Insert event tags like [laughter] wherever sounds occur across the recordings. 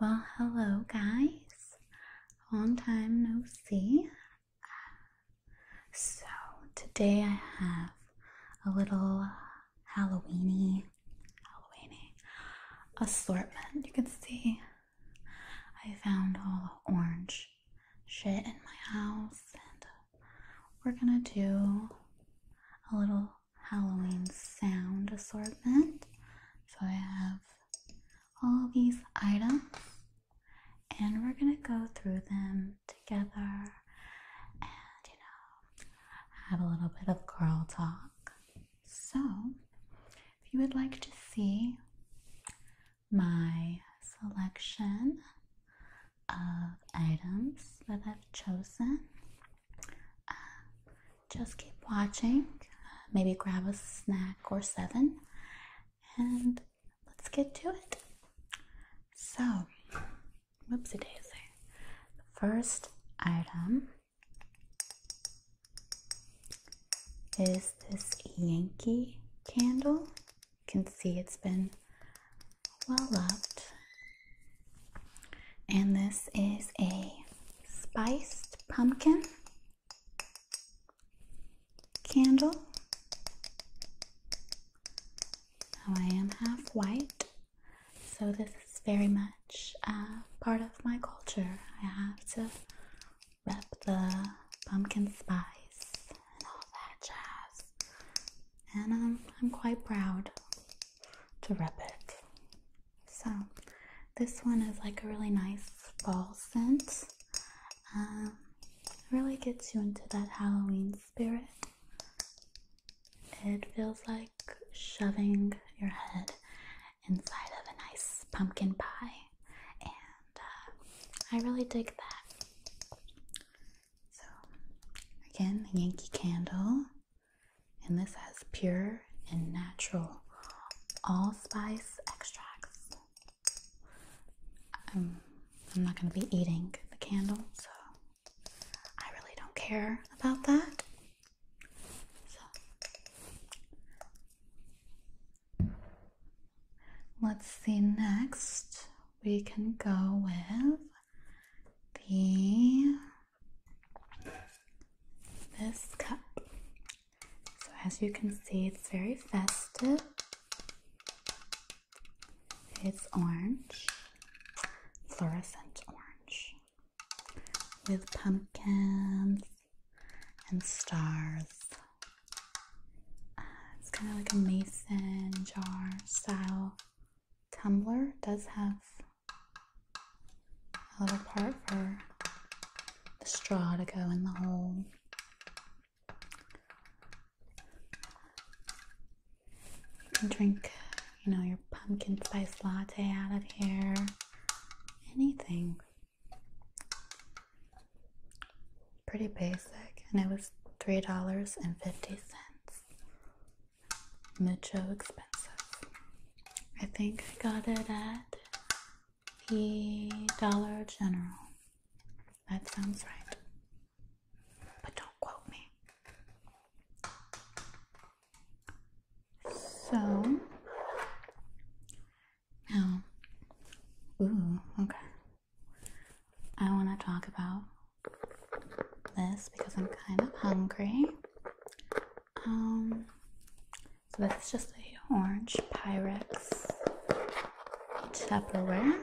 Well, hello guys. Long time no see. So, today I have a little Halloweeny, Halloweeny assortment. You can see I found all the orange shit in my house and we're going to do a little Halloween sound assortment. So I have all these items, and we're gonna go through them together and you know have a little bit of girl talk. So, if you would like to see my selection of items that I've chosen, uh, just keep watching, uh, maybe grab a snack or seven, and let's get to it. So, whoopsie daisy, the first item is this Yankee candle. You can see it's been well loved and this is a spiced pumpkin candle. Now I am half white, so this is very much uh, part of my culture. I have to rep the pumpkin spice and all that jazz. And um, I'm quite proud to rep it. So this one is like a really nice fall scent. Um, really gets you into that Halloween spirit. It feels like shoving your head inside of a nice pumpkin pie, and uh, I really dig that. So, again, the Yankee Candle and this has pure and natural allspice extracts. Um, I'm, not going to be eating the candle, so I really don't care about that. let's see next. We can go with the this cup. So, as you can see, it's very festive. It's orange, fluorescent orange, with pumpkins and stars. Uh, it's kind of like a mason jar style tumbler. does have a little part for the straw to go in the hole. You can drink, you know, your pumpkin spice latte out of here. Anything. Pretty basic, and it was three dollars and fifty cents. Mid Mucho expensive. I think I got it at the Dollar General. That sounds right. But don't quote me. So now, ooh, okay. I want to talk about this because I'm kind of hungry um, so is just a orange Pyrex Tupperware.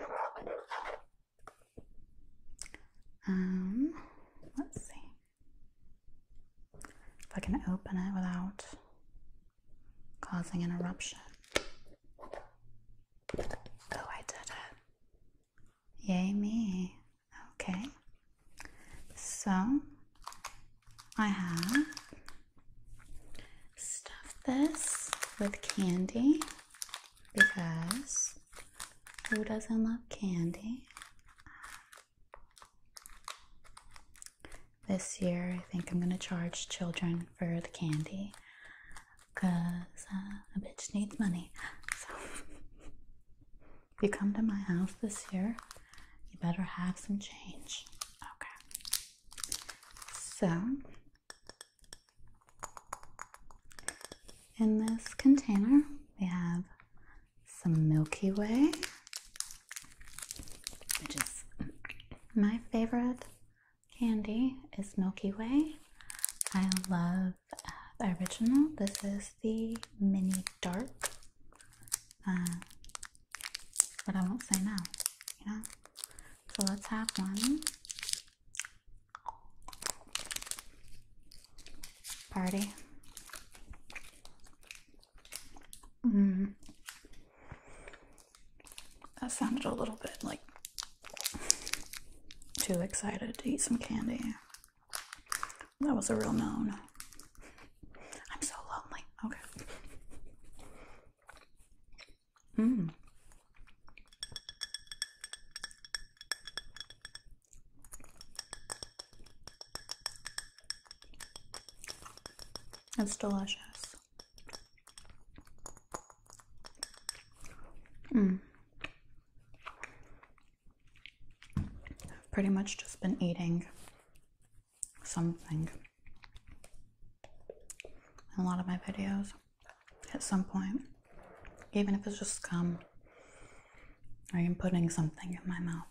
Um, let's see if I can open it without causing an eruption. Oh, I did it. Yay, me. Okay, so I have stuffed this with candy because who doesn't love candy? This year, I think I'm gonna charge children for the candy because uh, a bitch needs money. [laughs] If you come to my house this year, you better have some change. Okay. So, in this container, we have some Milky Way, which is my favorite candy is Milky Way. I love uh, the original. This is the Mini Dark. Uh, but I won't say no, you know? So let's have one. Party. Mm. That sounded a little bit like too excited to eat some candy. That was a real moan. I'm so lonely. Okay. Mmm. It's delicious. Mm. I've pretty much just been eating something in a lot of my videos at some point, even if it's just gum, I am putting something in my mouth.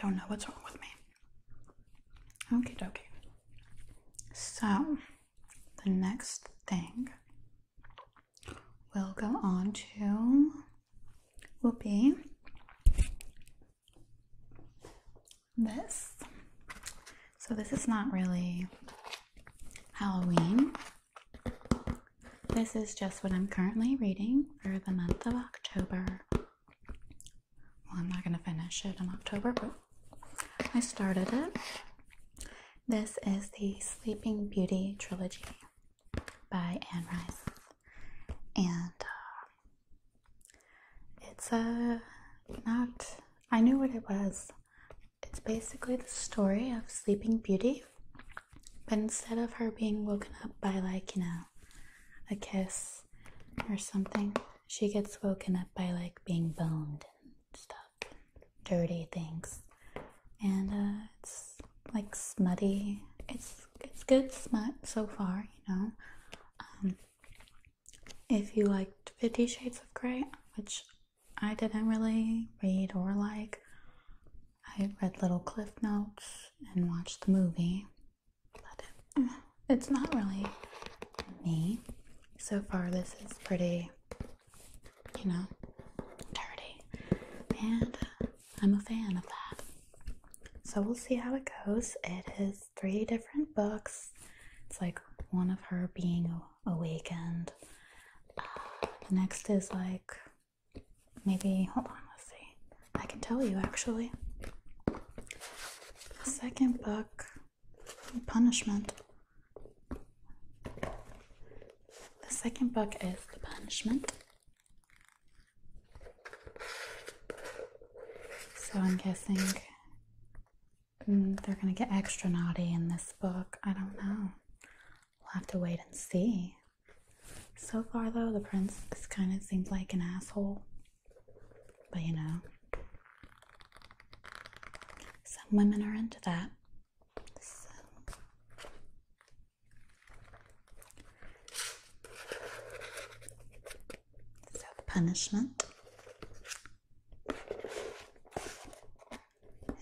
Don't know what's wrong with me. Okay, dokie. So, the next thing we'll go on to will be this. So, this is not really Halloween. This is just what I'm currently reading for the month of October. Well, I'm not going to finish it in October, but I started it. This is the Sleeping Beauty trilogy by Anne Rice, and uh, it's a uh, not. I knew what it was. It's basically the story of Sleeping Beauty, but instead of her being woken up by like you know a kiss or something, she gets woken up by like being boned and stuff, dirty things, and uh, it's like smutty. It's it's good smut so far, you know. Um, if you liked Fifty Shades of Grey, which I didn't really read or like, I read little cliff notes and watched the movie, but it's not really me. So far, this is pretty, you know, dirty. And uh, I'm a fan of that. So we'll see how it goes. It is three different books. It's like one of her being awakened. the uh, next is like maybe, hold on, let's see. I can tell you actually. The second book, Punishment. The second book is The Punishment. So I'm guessing mm, they're gonna get extra naughty in this book. I don't know. We'll have to wait and see. So far, though, the prince kind of seems like an asshole. But you know, some women are into that self punishment.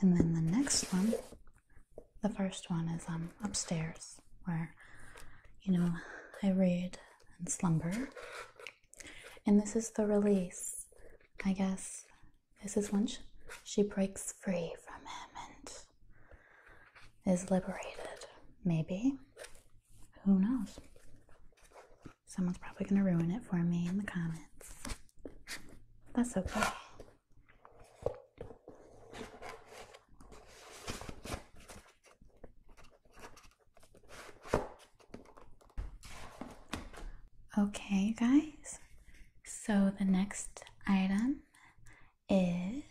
And then the next one, the first one is um, upstairs, where you know I read and slumber. And this is the release. I guess this is when she breaks free from him and is liberated. Maybe. Who knows? Someone's probably going to ruin it for me in the comments. That's okay. Okay, guys. So the next item is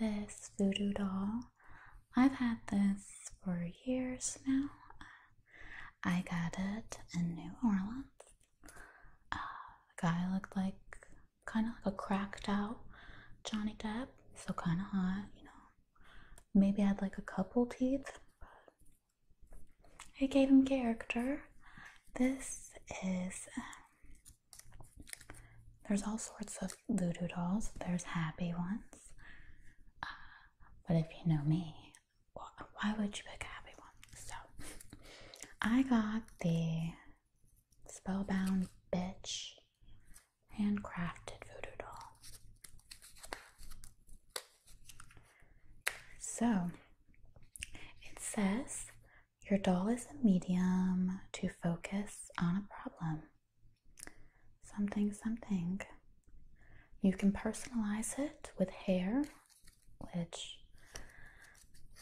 this voodoo doll. I've had this for years now. I got it in New Orleans. A uh, guy looked like kind of like a cracked out Johnny Depp, so kind of hot, you know. Maybe I had like a couple teeth, but it gave him character. This is um, there's all sorts of voodoo dolls. There's happy ones. Uh, but if you know me, why would you pick a happy one? So I got the Spellbound Bitch handcrafted voodoo doll. So it says your doll is a medium to focus on a problem. Something, something. You can personalize it with hair, which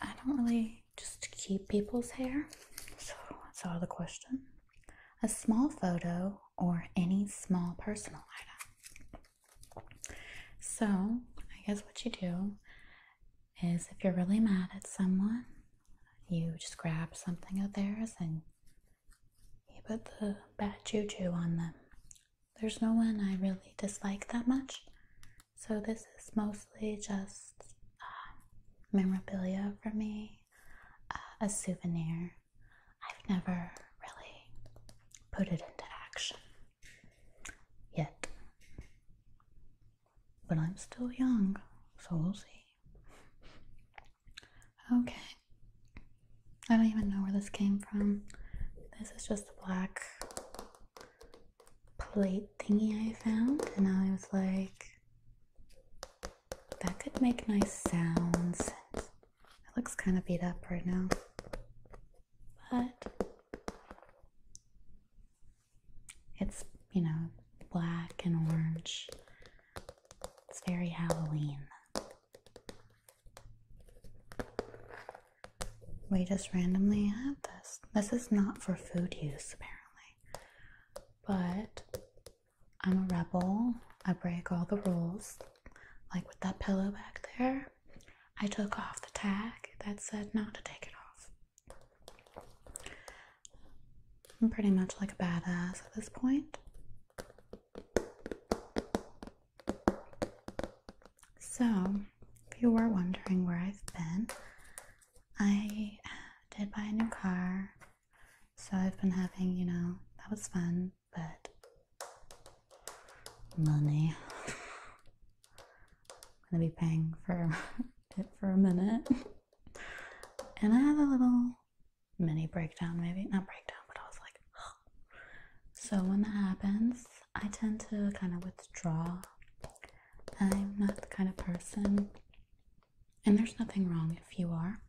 I don't really just keep people's hair, so that's out of the question. A small photo or any small personal item. So, I guess what you do is if you're really mad at someone, you just grab something of theirs and you put the bad juju on them. There's no one I really dislike that much, so this is mostly just uh, memorabilia for me, uh, a souvenir. I've never really put it into action yet. But I'm still young, so we'll see. Okay. I don't even know where this came from. This is just a black plate thingy I found, and I was like, that could make nice sounds. It looks kind of beat up right now. But it's, you know, black and orange. It's very Halloween. We just randomly have this. This is not for food use, apparently. But I'm a rebel. I break all the rules. Like with that pillow back there, I took off the tag that said not to take it off. I'm pretty much like a badass at this point. So, if you were wondering where I've been, I did buy a new car. So, I've been having, you know, that was fun, but money. [laughs] I'm gonna be paying for [laughs] it for a minute. And I had a little mini breakdown, maybe not breakdown, but I was like, oh. [gasps] so when that happens, I tend to kind of withdraw. I'm not the kind of person, and there's nothing wrong if you are.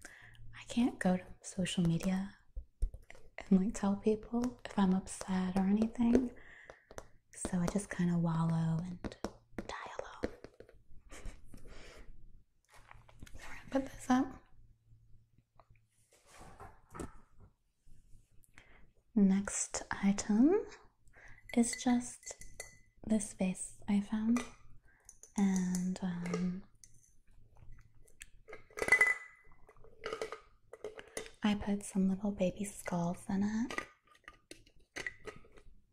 I can't go to social media and like tell people if I'm upset or anything, so I just kind of wallow and put this up. Next item is just this vase I found, and um, I put some little baby skulls in it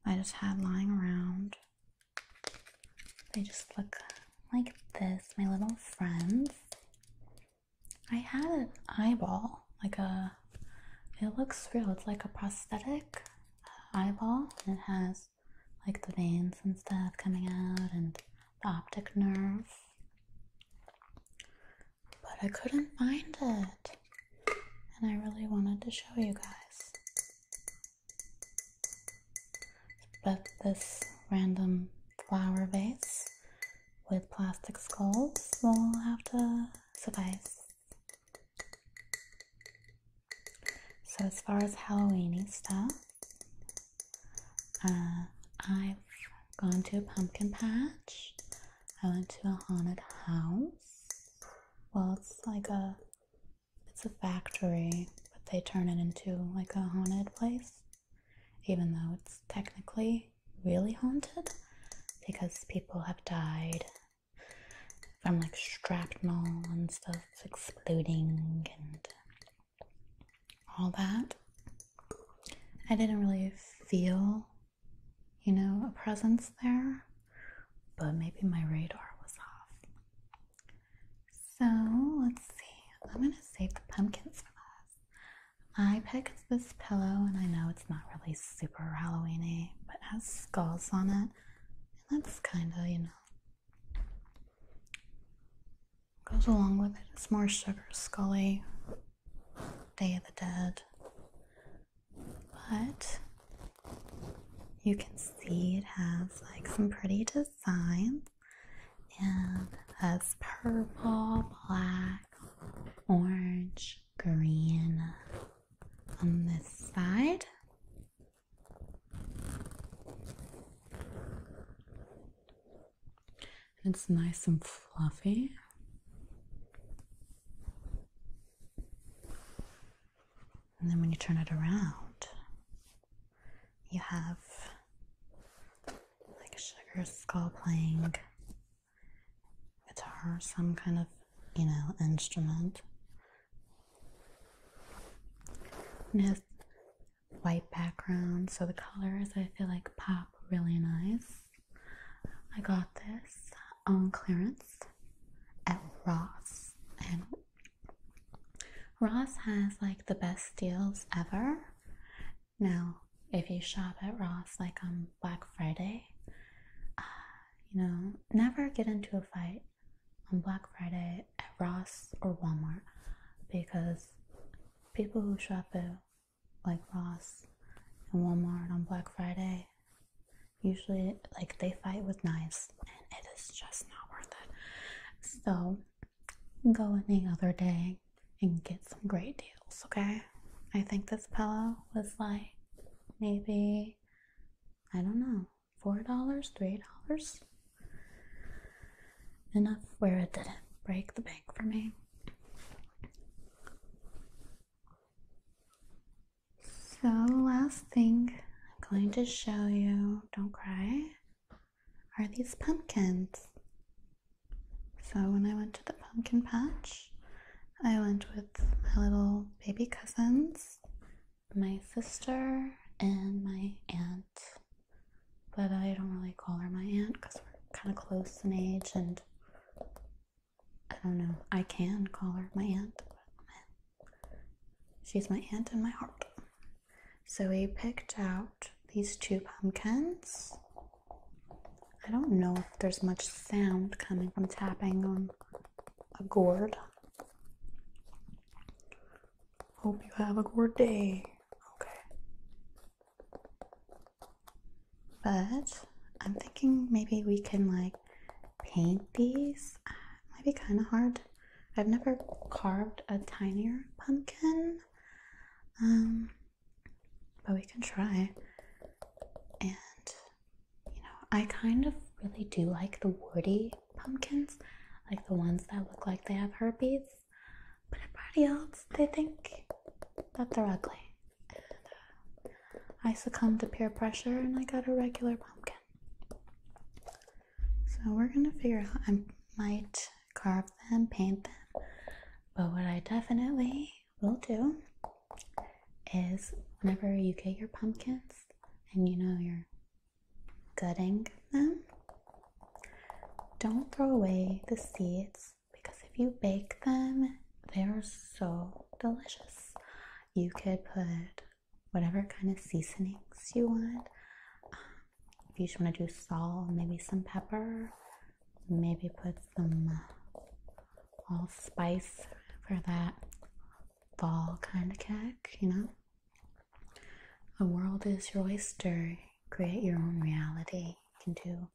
I just had lying around. They just look like this, my little friends. I had an eyeball, like a, it looks real, it's like a prosthetic eyeball. It has like the veins and stuff coming out and the optic nerve. But I couldn't find it and I really wanted to show you guys. But this random flower vase with plastic skulls will have to suffice. So, as far as Halloweeny stuff, uh, I've gone to a pumpkin patch. I went to a haunted house well, it's like a it's a factory, but they turn it into like a haunted place, even though it's technically really haunted because people have died from like shrapnel and stuff exploding and all that. I didn't really feel you know, a presence there, but maybe my radar was off. So let's see. I'm gonna save the pumpkins for us. My pick is this pillow, and I know it's not really super Halloweeny, but has skulls on it, and that's kind of you know goes along with it. It's more sugar scully, Day of the Dead but you can see it has like some pretty designs and has purple, black, orange, green on this side. And it's nice and fluffy. And then when you turn it around, you have like Sugar Skull playing guitar, some kind of, you know, instrument. And white background, so the colors I feel like pop really nice. I got this on clearance at Ross. And Ross has like the best deals ever. Now, if you shop at Ross like on Black Friday, uh, you know, never get into a fight on Black Friday at Ross or Walmart because people who shop at like Ross and Walmart on Black Friday Usually, like they fight with knives, and it is just not worth it. So, go any other day and get some great deals, okay? I think this pillow was like maybe, I don't know, $4, $3. Enough where it didn't break the bank for me. So, last thing I'm going to show you, don't cry, are these pumpkins. So, when I went to the pumpkin patch, I went with my little baby cousins, my sister, and my aunt. But I don't really call her my aunt because we're kind of close in age and I don't know. I can call her my aunt, she's my aunt in my heart. So we picked out these two pumpkins. I don't know if there's much sound coming from tapping on a gourd. Hope you have a gourd day. Okay. But I'm thinking maybe we can like paint these might be kind of hard. I've never carved a tinier pumpkin, um, but we can try. And you know, I kind of really do like the woody pumpkins, like the ones that look like they have herpes. But everybody else, they think that they're ugly. And, uh, I succumbed to peer pressure and I got a regular pumpkin. So we're gonna figure out. I might carve them, paint them, but what I definitely will do is whenever you get your pumpkins and you know you're gutting them, don't throw away the seeds because if you bake them, they are so delicious. You could put whatever kind of seasonings you want. Um, if you just want to do salt, maybe some pepper, maybe put some uh, allspice for that fall kind of cake, you know? The world is your oyster. Create your own reality. You can do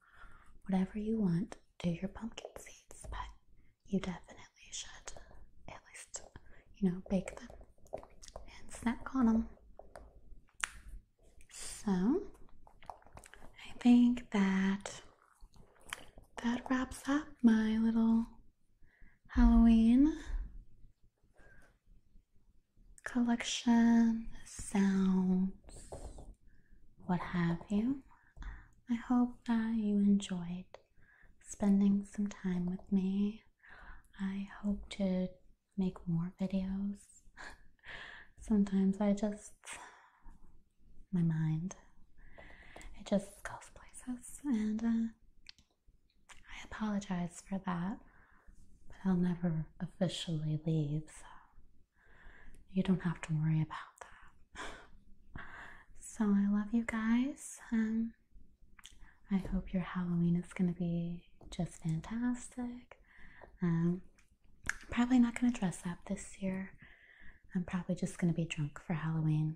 whatever you want. Do your pumpkin seeds, but you definitely should at least, you know, bake them and snack on them. So, I think that that wraps up my little Halloween collection, sounds, what have you. I hope that you enjoyed spending some time with me. I hope to make more videos. [laughs] Sometimes I just, my mind, it just goes places, and uh, I apologize for that, but I'll never officially leave, so you don't have to worry about that so I love you guys. Um, I hope your Halloween is gonna be just fantastic. Um, probably not gonna dress up this year. I'm probably just gonna be drunk for Halloween,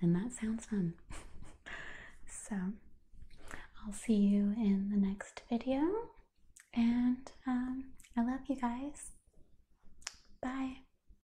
and that sounds fun. [laughs] so I'll see you in the next video, and um, I love you guys. Bye.